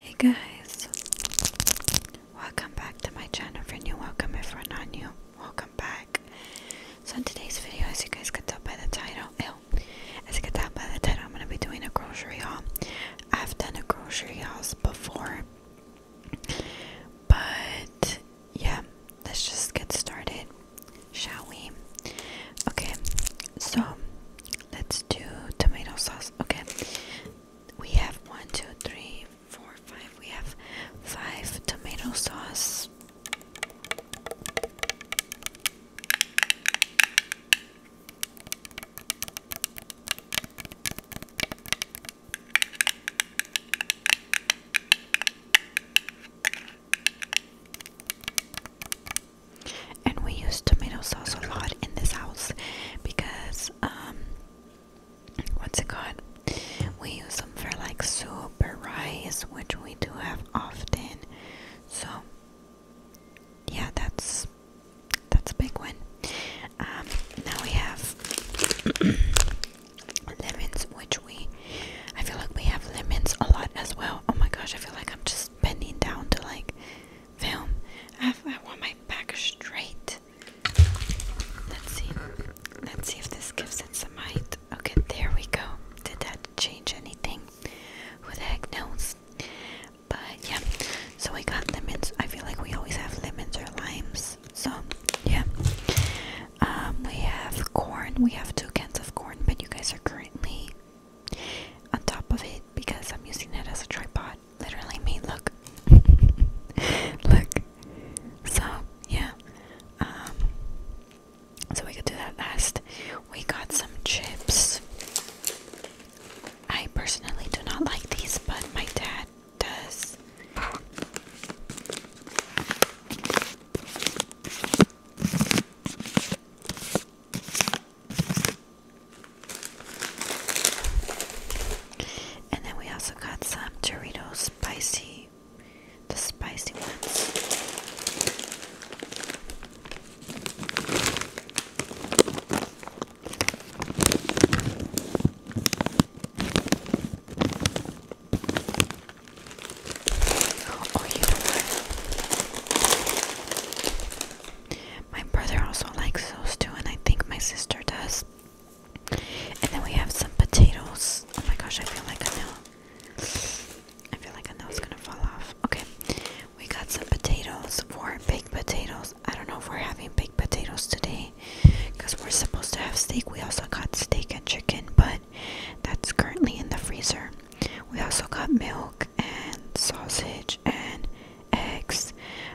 Hey guys, welcome back to my channel. For new, welcome. If we are not new, welcome back. So in today's video, as you guys could tell by the title, as you can tell by the title, I'm gonna be doing a grocery haul. I've done a grocery haul before, but yeah, let's just get started, shall we? Okay, so let's do tomato sauce. Okay we have one, two, three, four, five. We have five tomato sauce and we use tomato sauce a lot in this house because um, what's it called we use them for like soup or rice which we do have often so yeah that's that's a big one um, now we have lemons which we i feel like we have lemons a lot as well oh my gosh i feel like i'm just bending down to like film. I, I want my back straight. Let's see. Let's see if this gives it some height. Okay, there we go. Did that change anything? Who the heck knows? But yeah, so we got lemons. I feel like we always have lemons or limes. So yeah, um, we have corn. We have two cans of corn, but you guys are currently on top of it because I'm using it as a tripod literally me. Look, look. So yeah, um, so we could do that last. We got some chips. I personally do not like these, but my dad does. And then we also got some Doritos spicy, the spicy ones. Oh, you know my brother also likes those too, and I think my sister does. And then we have some potatoes. Oh my gosh, I feel like I know. I feel like I know it's gonna fall off. Okay, we got some potatoes, For baked potatoes. I don't know if we're having baked potatoes today because we're supposed to have steak. We also got steak and chicken, but that's currently in the freezer. We also got milk and sausage and eggs,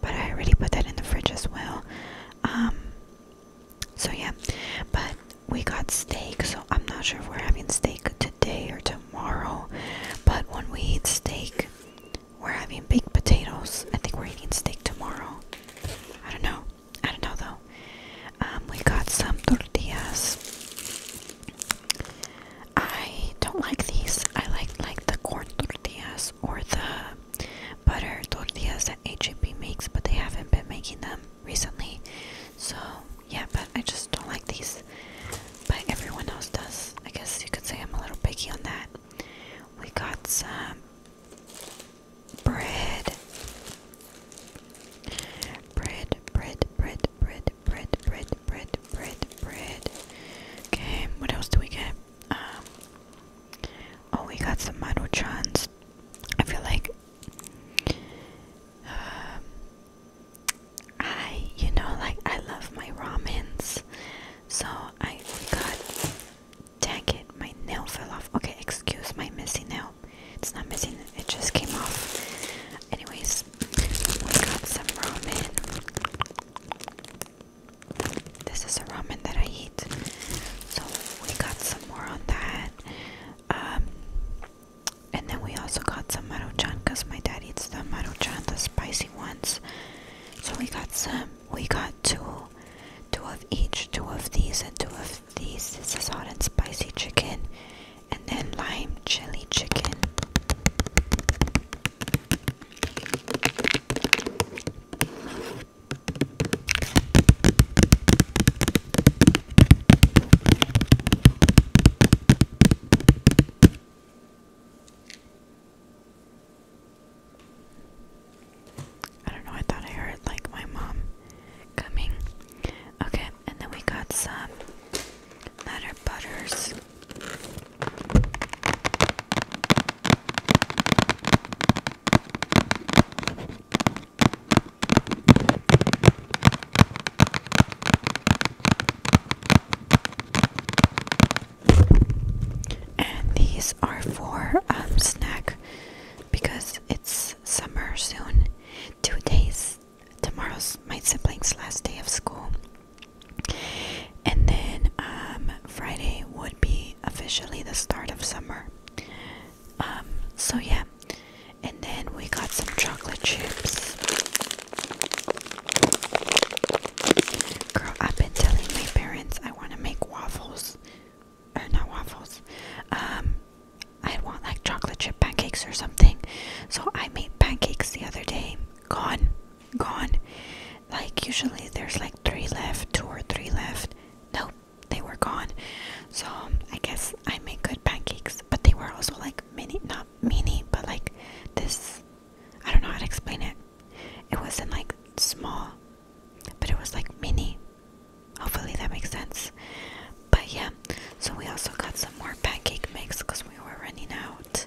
but I already put that in the fridge as well. Um, so yeah, but we got steak, so I'm not sure if we're having steak today or tomorrow. But when we eat steak, we're having baked potatoes. I think we're eating steak tomorrow. I don't know. I don't know though. Um, we got some tortillas. I don't like these. I like like the corn tortillas tortillas or the butter tortillas that HEB makes, but they haven't been making them recently. So, yeah, but I just don't like these. But everyone else does. I guess you could say I'm a little picky on that. We got some bread. Bread, bread, bread, bread, bread, bread, bread, bread, bread. Okay, what else do we get? Um, oh, we got some Maruchans. I feel like. Um, I, you know, like I love my ramens. So I got. Dang it, my nail fell off. Okay, excuse my missing nail. It's not missing, it just came off. Anyways, we got some ramen. This is a ramen that I eat. So we got some more on that. Um, and then we also got some maruchan because my dad eats the maruchan, the spicy ones. So we got some. We got two, two of each, two of these and two of these. This is hot and spicy chicken, and then lime chili chicken. I don't know, I thought I heard like my mom coming. Okay, and then we got some letter butters. And these are for um, snack because it's summer soon. Two days. Tomorrow's my sibling's last day of school. And then um, Friday would be officially the start of summer. Um, so, yeah. And then we got some chocolate chips. Girl, I've been telling my parents I want to make waffles. Or uh, not waffles. Um, I want like chocolate chip pancakes or something. So I made pancakes the other day. Gone. Gone. Like usually there's like three left, two or three left. Nope, they were gone. So um, I guess I make good pancakes, but they were also like mini, not mini, but like this. I don't know how to explain it. It wasn't like small, but it was like mini. Hopefully that makes sense. But yeah, so we also got some more pancake mix because we were running out.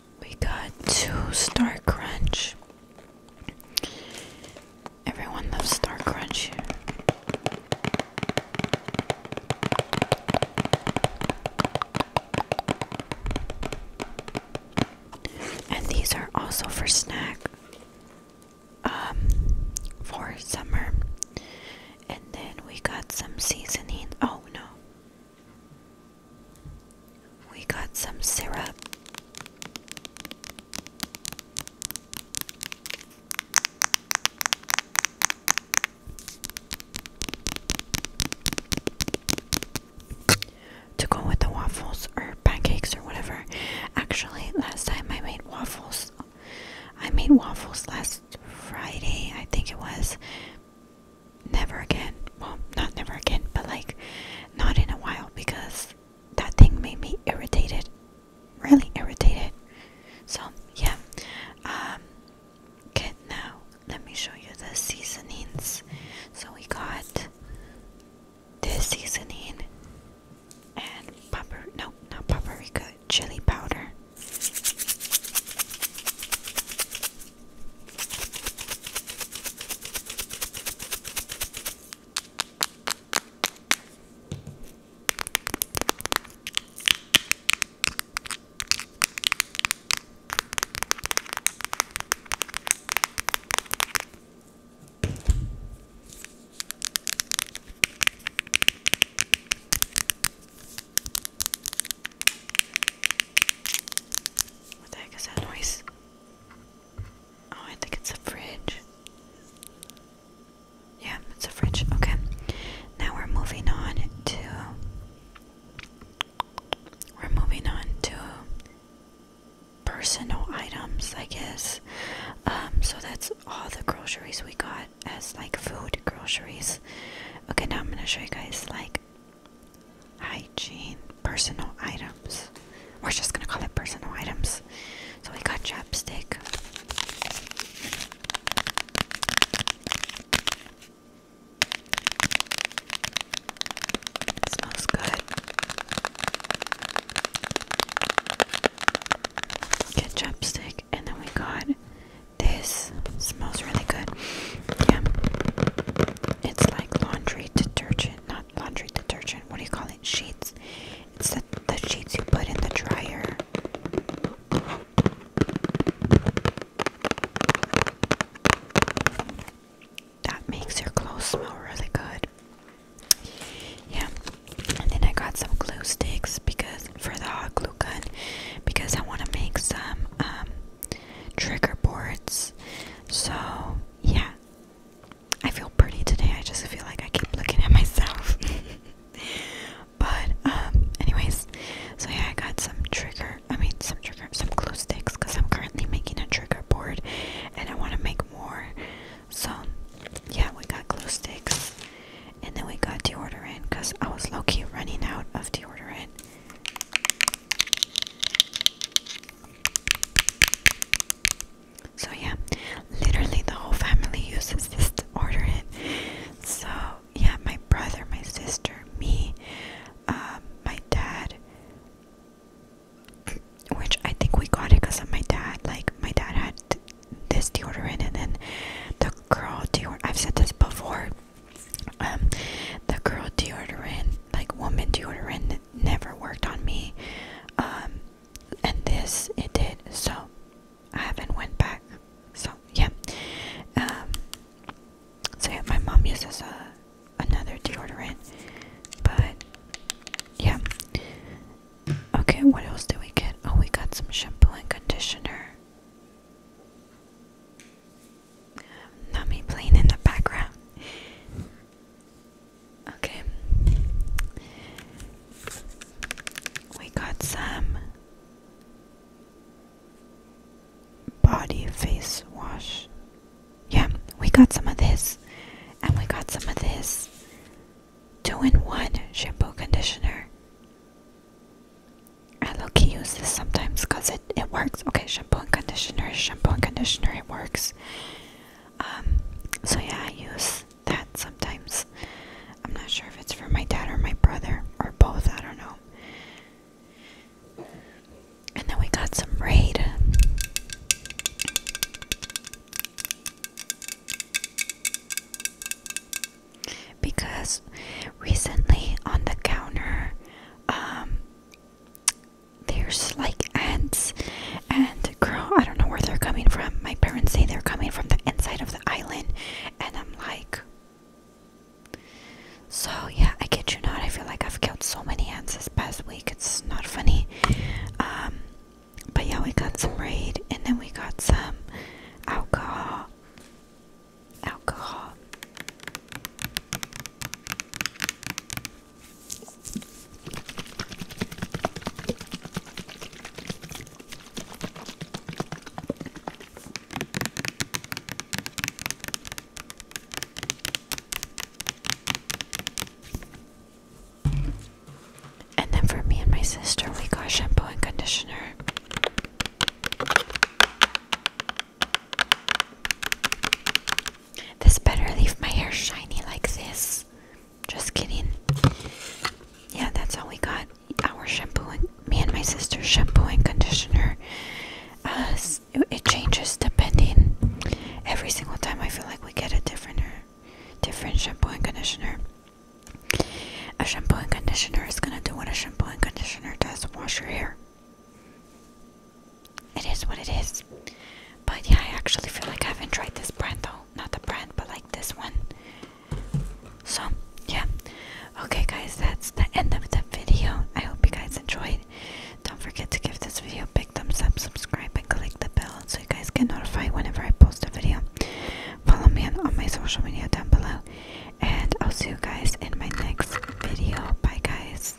we got two Star Crunch. Everyone loves Star Crunch And these are also for snack um for summer. And then we got some seasoning. Oh no. We got some syrup. To go with the waffles or pancakes or whatever. Actually, last time I made waffles. I made waffles last Friday, I think it was never again. Well, not never again, but like not in a while because that thing made me irritated. Really irritated. So, yeah. Um okay, now let me show you the seasonings. So we got this seasoning and pepper. no, not paprika, chili powder. What the heck is that noise? Oh, I think it's a fridge. Yeah, it's a fridge. Okay. Now we're moving on to. We're moving on to personal items, I guess. Um, so that's all the groceries we got as like food groceries. Okay, now I'm gonna show you guys like hygiene, personal items. We're just gonna call it personal items. So we got chapstick. smells good. Get chapstick, and then we got this. Smells really good. Yeah, it's like laundry detergent, not laundry detergent. What do you call it? Sheets. It's the, the sheets you put in the dryer. That makes your clothes smell really good. Yeah. And then I got some glue sticks because for the hot glue gun because I want to make some um, trigger boards. So, yeah, I feel pretty today. I just feel like I keep looking at myself. but um anyways, so yeah, I got some trigger. I mean, some trigger, some glue sticks cuz I'm currently making a trigger board and I want to make more. So, yeah, we got glue sticks. And then we got deodorant cuz I was low running out of deodorant. So yeah, literally the whole family uses this to order it. So yeah, my brother, my sister, me, uh, my dad. Which I think we got it because of my dad. Like my dad had this deodorant, and then the girl deodorant. I've said this before. Um, the girl deodorant, like woman deodorant, never worked on me. Um, and this it did, so I haven't went back. So yeah. Um, so yeah, my mom uses a uh, another deodorant, but yeah. Okay, what else did we get? Oh, we got some shampoo and conditioner um, me playing in the background. Okay, we got some body face wash. Yeah, we got some of this, and we got some of this two in one shampoo conditioner. I look, he uses this sometimes because it, it works. Okay, shampoo and conditioner, shampoo and conditioner, it works. Um, so yeah, I use that sometimes. I'm not sure if it's for my dad or my brother or both, I don't know. And then we got some Raid. Because recently on the counter, um, there's like ants and girl i don't know where they're coming from my parents say they're coming from the inside of the island and i'm like so yeah i kid you not i feel like i've killed so many ants this past week it's not funny um but yeah we got some raid and then we got some alcohol alcohol and then for me and my sister, we got shampoo and conditioner. This better leave my hair shiny like this. Just kidding. Yeah, that's all we got. Our shampoo, and, me and my sister's shampoo and conditioner. Uh, it changes depending. Every single time, I feel like we get a different, uh, different shampoo and conditioner. A shampoo and conditioner is gonna do what a shampoo and conditioner does: wash your hair. It is what it is. But yeah, I actually feel like I haven't tried this brand though. Not the brand, but like this one. So, yeah. Okay, guys, that's the end of the video. I hope you guys enjoyed. Don't forget to give this video a big thumbs up, subscribe, and click the bell so you guys get notified whenever I post a video. Follow me on my social media down below. And I'll see you guys in my next video. Bye, guys.